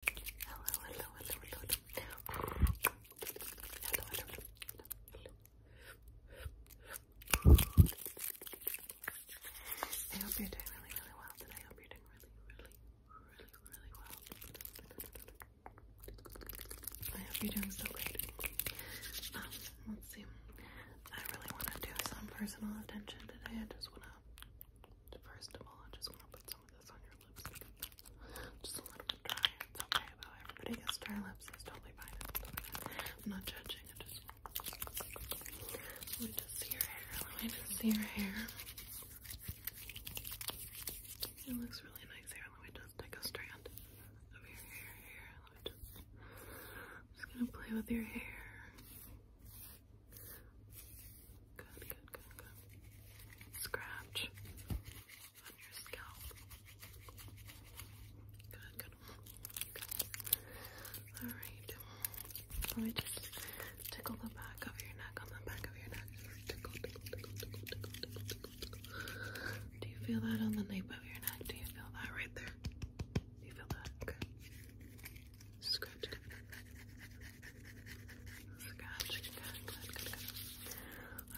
I hope you're doing really, really well today. I hope you're doing really, really, really, really well. I hope you're doing so great. Um, let's see. I really want to do some personal attention today. I just want to, first of all, I just want to put some of this on your Just a little bit dry. It's okay Everybody gets dry lips. It's totally fine. I'm not judging. I just let me just see your hair. Let me just see your hair. It looks really nice here. Let me just take a strand of your hair here. Let me just. I'm just gonna play with your hair. Good, good, good, good. Scratch on your scalp. Good, good. good. Alright. Let me just tickle the back of your neck on the back of your neck. Tickle, tickle, tickle, tickle, tickle, tickle, tickle. Do you feel that on the nape of your neck? Do you feel that right there? you feel that? Scratch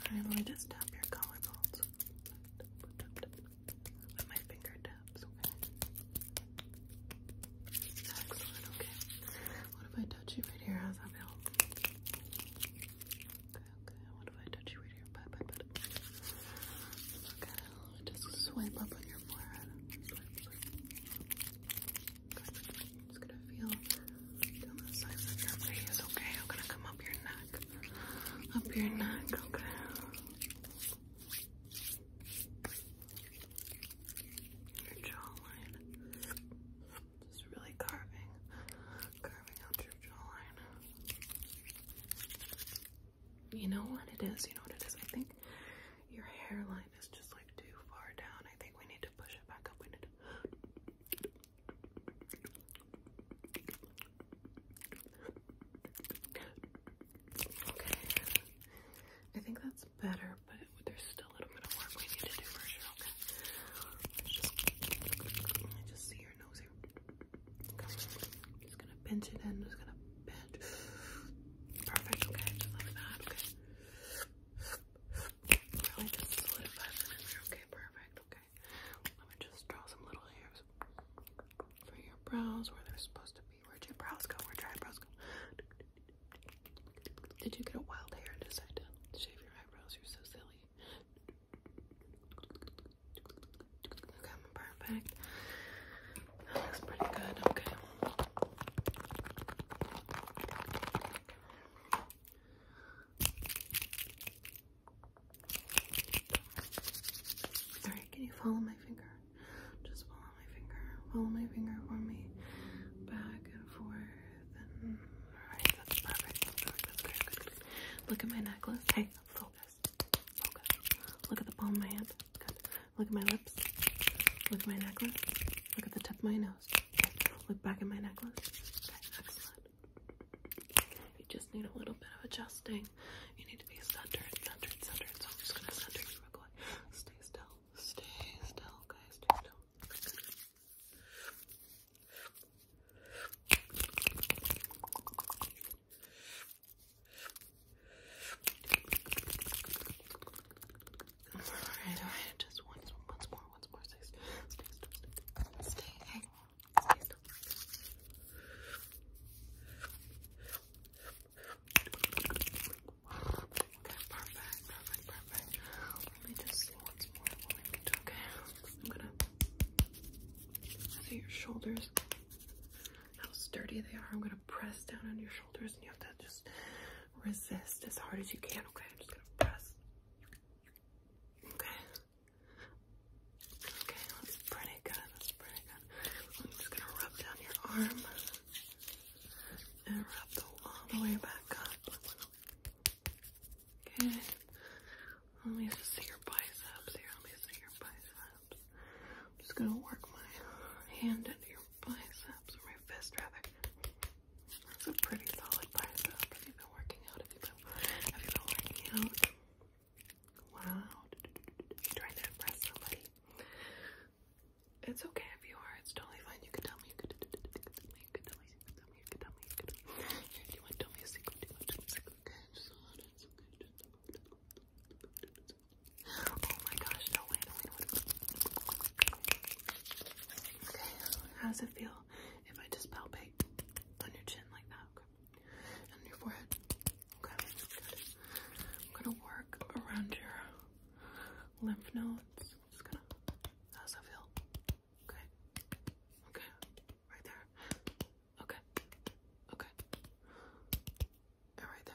Alright, let me just tap your collarbones. With my fingertips, okay? Excellent, okay. What if I touch you right here? How's that feel? Okay, okay. What if I touch you right here? Bye, bye, bye. Okay, just swipe up on your forehead. It's gonna feel down the sides of your face, okay? I'm gonna come up your neck. Up your neck, okay? Your jawline. Just really carving, carving out your jawline. You know what it is, you know what it is. I think your hairline is just like too far down. I think we need to push it back up. We need to Okay. I think that's better, but there's still a little bit of work we need to do for sure. Okay. just, see your nose here. just gonna pinch it in. just gonna pinch. Perfect. Okay. like that. Okay. Okay, perfect. Okay. Let me just draw some little hairs for your brows where they're supposed to be. Where'd your brows go? Where'd your eyebrows go? Did you get a wild hair and decide to shave your eyebrows? You're so silly. Okay, perfect. That looks pretty good. Okay. All right, can you follow my finger? Just follow my finger. Follow my finger for me. Back and forth. And... All right, that's perfect. Look at my necklace. Hey, focus. Focus. Look at the palm of my hand. Look at my lips. Look at my necklace. Look at the tip of my nose. Look back at my necklace. Okay, excellent. You just need a little bit of adjusting. You need to be centered, centered, centered. So I'm just gonna center you real quick. Stay still. Stay still, okay? Stay still just once, once more, once more. Stay, stay, stay, perfect, perfect, perfect. Let me just see once more okay? I'm gonna look your shoulders, how sturdy they are. I'm gonna press down on your shoulders and you have to just resist as hard as you can. Okay, I'm just gonna press. Okay. Okay, that's pretty good. That's pretty good. I'm just gonna rub down your arm and rub all the way back up. Okay. Let me just see your biceps here. Let me see your biceps. I'm just gonna work my hand into here biceps, or my fist rather. That's a pretty solid bicep. Have you been working out? Have you been, have you been working out? Wow. Trying to impress somebody. It's okay if you are. It's totally fine. You can tell me. You can, you can tell me. You can tell me. You can tell me. You can tell me. you want to tell me a secret, you want to tell me a secret. Okay, it. Oh my gosh, no way, no way how does it feel if I just palpate on your chin like that? On your forehead. Okay, good. I'm gonna work around your lymph nodes. Just gonna. that feel? Okay. Okay. Right there. Okay. Okay. And right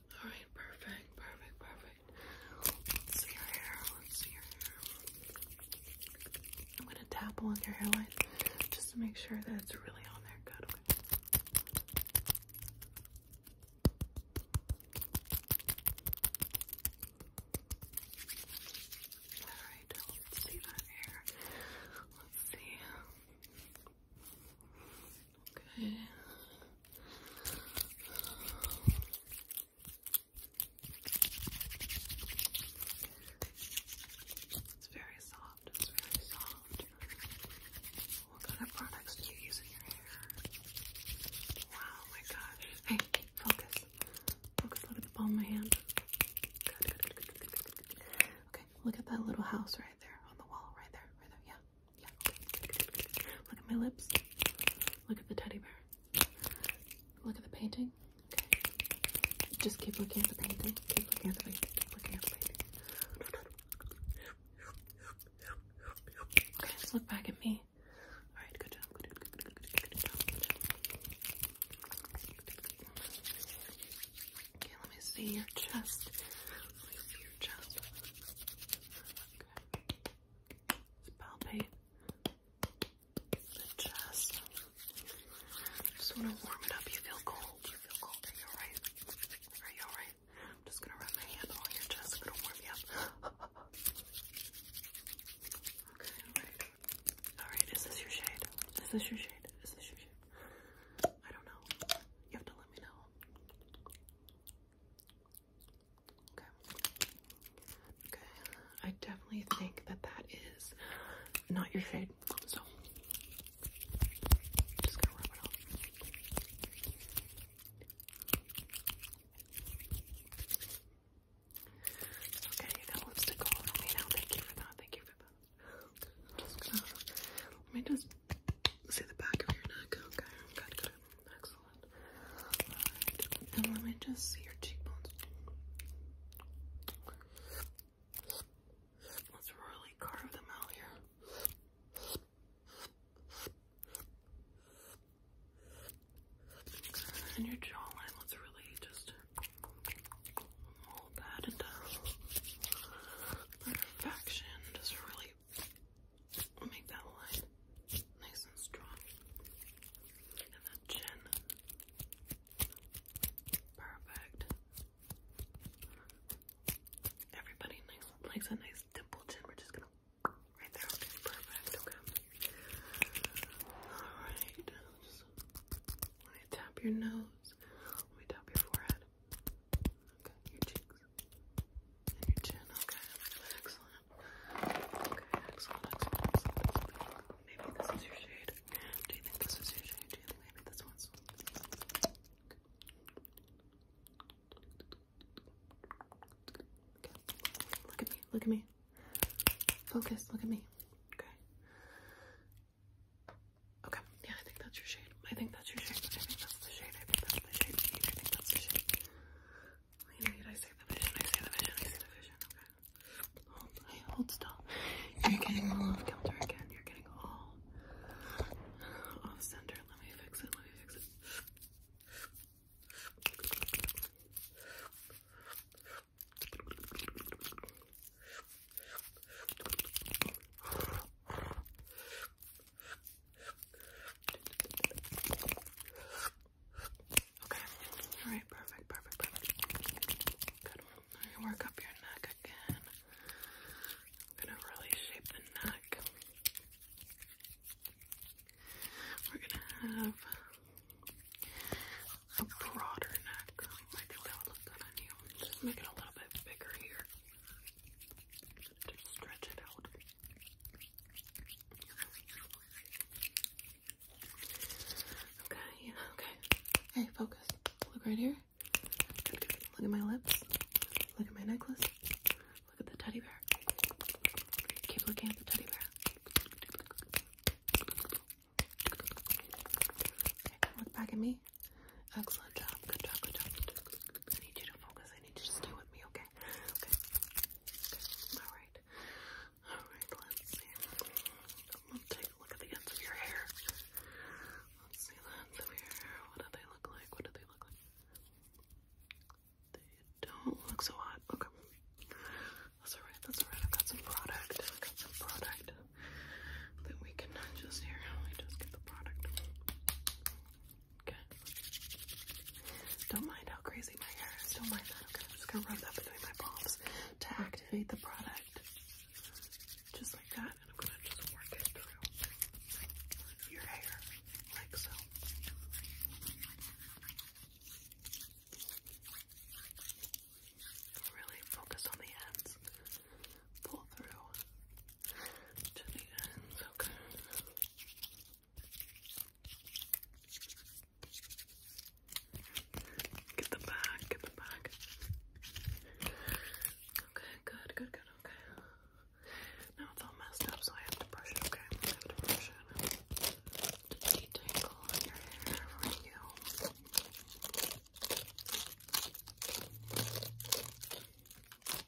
all right, perfect, perfect, perfect. Let's see your hair. Let's see your hair. I'm gonna tap along your hairline just to make sure that it's really on there. Good. All right, let's see that hair. Let's see. Okay. It's very soft. It's very soft. What kind of products do you use your hair? Wow, my gosh. Hey, focus. Focus a little bit on my hand. good, good, good. Okay, look at that little house right there on the wall, right there, right there. Yeah. Look at my lips. Look at the teddy bear. Look at the painting. Okay. Just keep looking at the painting. Keep looking at the painting. Keep looking at the painting. Okay, just look back at me. Alright, good job. Okay, let me see your chest. Let me see your chest. It's the chest. Just want to warm it up. You feel cold. You feel cold. Are you alright? Are you alright? I'm just gonna rub my hand on your chest. I'm gonna warm you up. okay, alright. Alright, is this your shade? Is this your shade? Is this your shade? I don't know. You have to let me know. Okay. Okay. I definitely think that that is not your shade. So just gonna rub it off. Okay, you lipstick all over me now. Thank you for that. Thank you for that. let me just see the back of your neck. Okay, Excellent. And let me just see your cheekbones. Let's really carve them out here. And your jawline, let's really just hold that into perfection. Just really I'll make that line nice and strong. And that chin. Perfect. Everybody likes a nice dimple chin. We're just gonna right there. perfect. Okay. Alright. let me tap your nose. Let me tap your forehead. Okay, your cheeks your chin. Okay, excellent. Okay, excellent, excellent, Maybe this is your shade. Do you think this is your shade? Do you think maybe this one's? Look at me. Look at me. Focus. Look at me. Okay. Okay. Yeah, I think that's your shade shade. I think that's your shade. I think that's the shade. I think that's the shade. I think that's the shade. Wait, wait, I say the vision. I say the vision. I say the vision. Okay. Hold, hey, hold still. You're getting all off kilter again. You're getting all off center. Let me fix it. Let me fix it. Okay. All right. Perfect. Perfect. Perfect. Good. I'm gonna work up your neck again. I'm gonna really shape the neck. We're gonna have a broader neck. I think that would look good on you. Just make it a little bit bigger here. Just stretch it out. Okay, okay. Hey, focus. Look right here. Look at my lips. Look at my necklace. Look at the teddy bear. Keep looking at the teddy bear. look back at me. Excellent job. Good job. Good job. I need you to focus. I need you to stay with me. Okay. Okay. All right. All right. Let's see. Let's take a look at the ends of your hair. Let's see the ends of your hair. What do they look like? What do they look like? They don't look so hot. Okay. That's alright, that's alright. I've got some product. I've got some product that we can just here. Let just get the product. Don't mind how crazy my hair is. Don't mind that. Okay, I'm just gonna rub that between my palms to activate the product. Just like that. And I'm gonna just work it through your hair. Like so. Really focus on the ends. Pull through to the ends. Get the bag, get the bag. Okay, good, good, good, okay. Now it's all messed up, so I have to brush it, okay? I have to brush it. detangle your hair for you. Okay,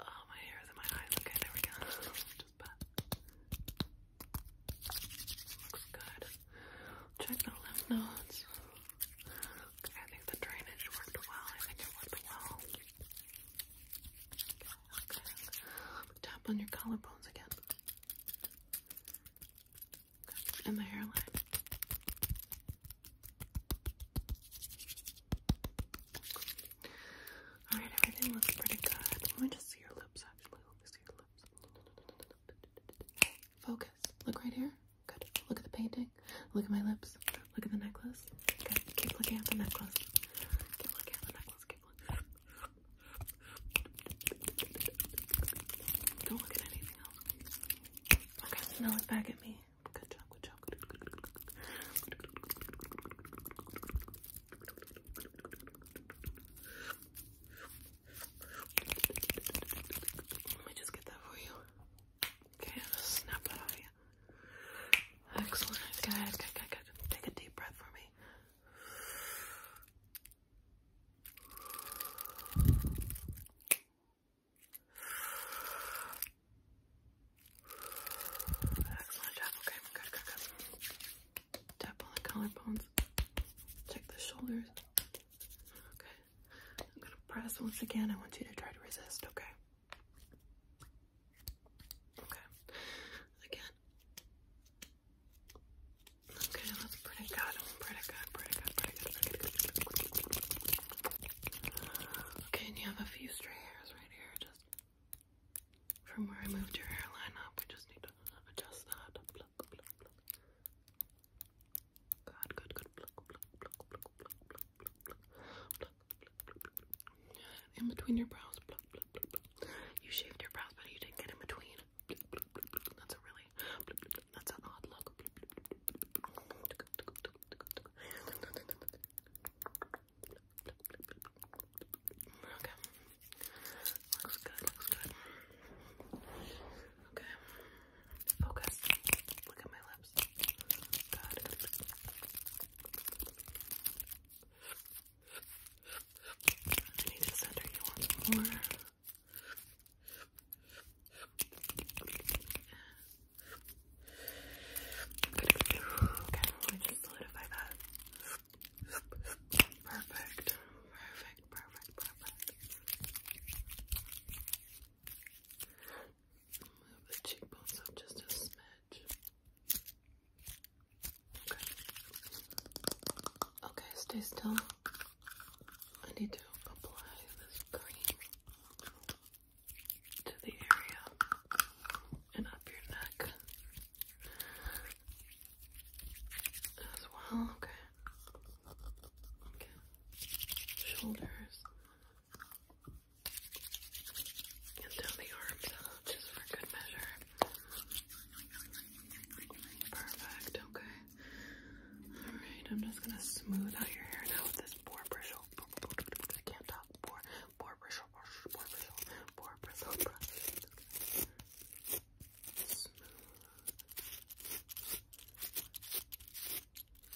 Oh, my hair is my eyes. Okay, there we go. Looks good. Check the lymph nodes. I think the drainage worked well. I think it worked well. Tap on your collarbones again. And the hairline. Alright, everything looks pretty good. Let me just see your lips actually. Let me see your lips. Focus. Look right here. Good. Look at the painting. Look at my lips. Look at the necklace. Good. Keep looking at the necklace. Keep looking at the necklace. Keep looking. Don't look at anything else. Okay, now look back at me. Good job, good job. Good, good, good, good, good. Let me just get that for you. Okay, I'll just snap that off you. Excellent. Good, good, good, good. Take a deep breath for me. Excellent Okay, good, good, good. Tap on the collarbones. Check the shoulders. Okay. I'm gonna press once again. I want you to try to resist, okay? Okay. Again. Okay, that's pretty good. Pretty good, pretty good, pretty good, pretty good. Okay, and you have a few stray hairs right here, just from where I moved your hairline up. We just need to adjust that. Good, good, good. In between your brows. You shaved your brows, but you didn't get in between. That's a really, that's an odd look. Okay. Looks good, looks good. Okay. Focus. Look at my lips. Good. I need to center you once more. Okay, let's solidify that. Perfect, perfect, perfect, perfect. Move the cheekbones up just a smidge. Okay. stay still. I need to apply this cream to the area and up your neck as well. Okay. Shoulders and down the arms out just for good measure. Perfect. Okay. All right. I'm just gonna smooth out your hair now with this boar brush. I can't talk. Poor, poor bristle, poor bristle, poor bristle, poor bristle.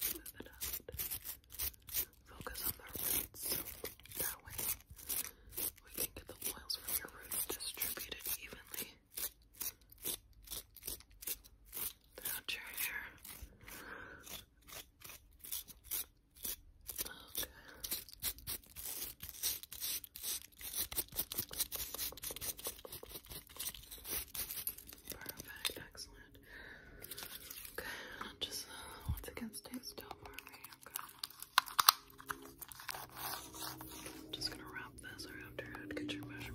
Smooth it out. Focus on the roots. That way we can get the oils from your roots distributed evenly. Out your hair. Perfect, excellent. Okay, i just uh, once again stay still for me. Okay. am just gonna wrap this around your head, get your measurements.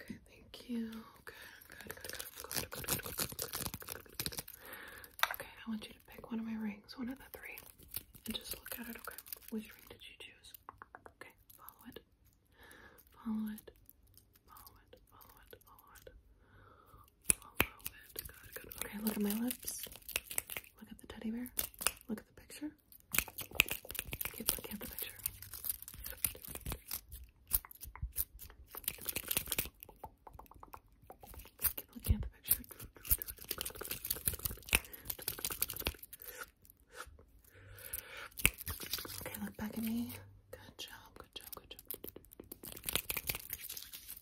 Okay, thank you. Good, good, good, good, good, good, good, good, good. Okay, I want you to pick one of my rings, one of the three, and just look at it, okay? Which ring did you choose? Okay, follow it. Follow it. Follow it. Follow it. Follow it. Good, good. Okay, look at my lips. Look at the teddy bear. Look at the picture. Keep looking at the picture. Keep looking at the picture. Okay, look back at me. Good job, good job, good job.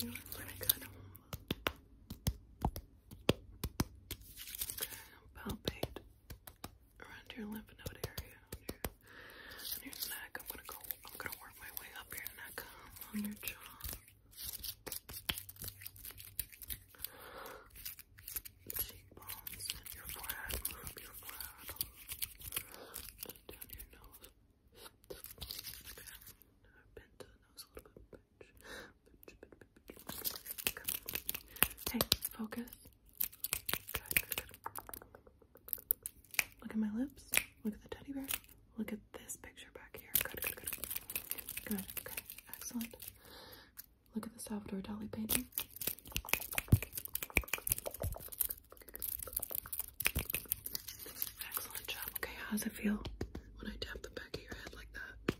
You know when I got home. around your lymph node area your, neck. I'm gonna go I'm gonna work my way up your neck on your jaw. Cheekbones and your forehead, move up your forehead down your nose. Bend focus. Look at my lips. Look at the teddy bear. Look at this picture back here. Good, good, good. Good, okay. Excellent. Look at the Salvador Dali painting. Excellent job. Okay, how does it feel when I tap the back of your head like that?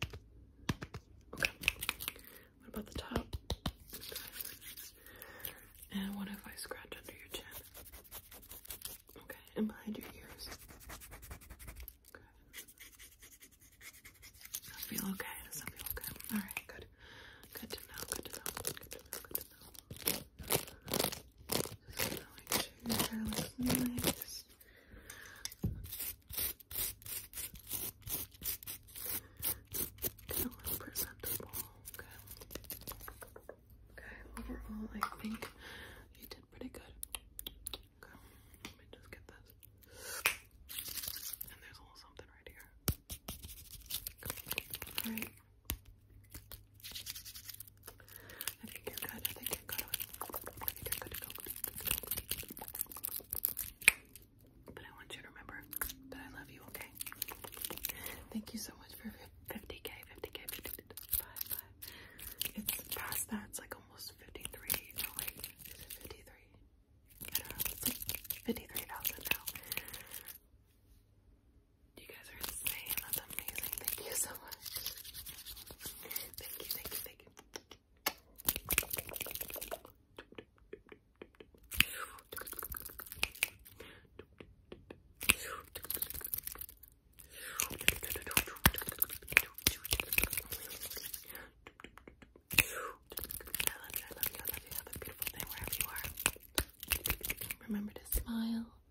Okay. What about the top? Okay. And what if I scratch under your chin? Okay, and behind your ears. Okay. feel okay? Does that feel okay? Alright, good. Good to know, good to know, good to know, good to know going to her legs and legs. presentable, okay? Okay, overall I think you did pretty good. Okay, let me just get this. And there's a little something right here. Alright, I think you good. I think you good. I think you good to go. But I want you to remember that I love you, okay? Thank you so much for 50k, 50k, 55. It's past that. It's like almost 53. Oh wait, 53? 53,000 now. You guys are amazing. Thank you so much. Thank you, thank you, thank you. I love you, I love you, I love you. Have a beautiful day wherever you are. Remember to smile.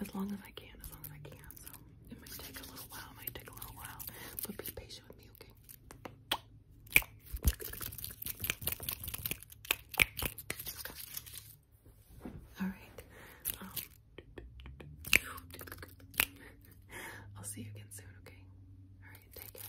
as long as I can, as long as I can. So it might take a little while, it might take a little while, but be patient with me, okay? All right. Um, I'll see you again soon, okay? All right, take care.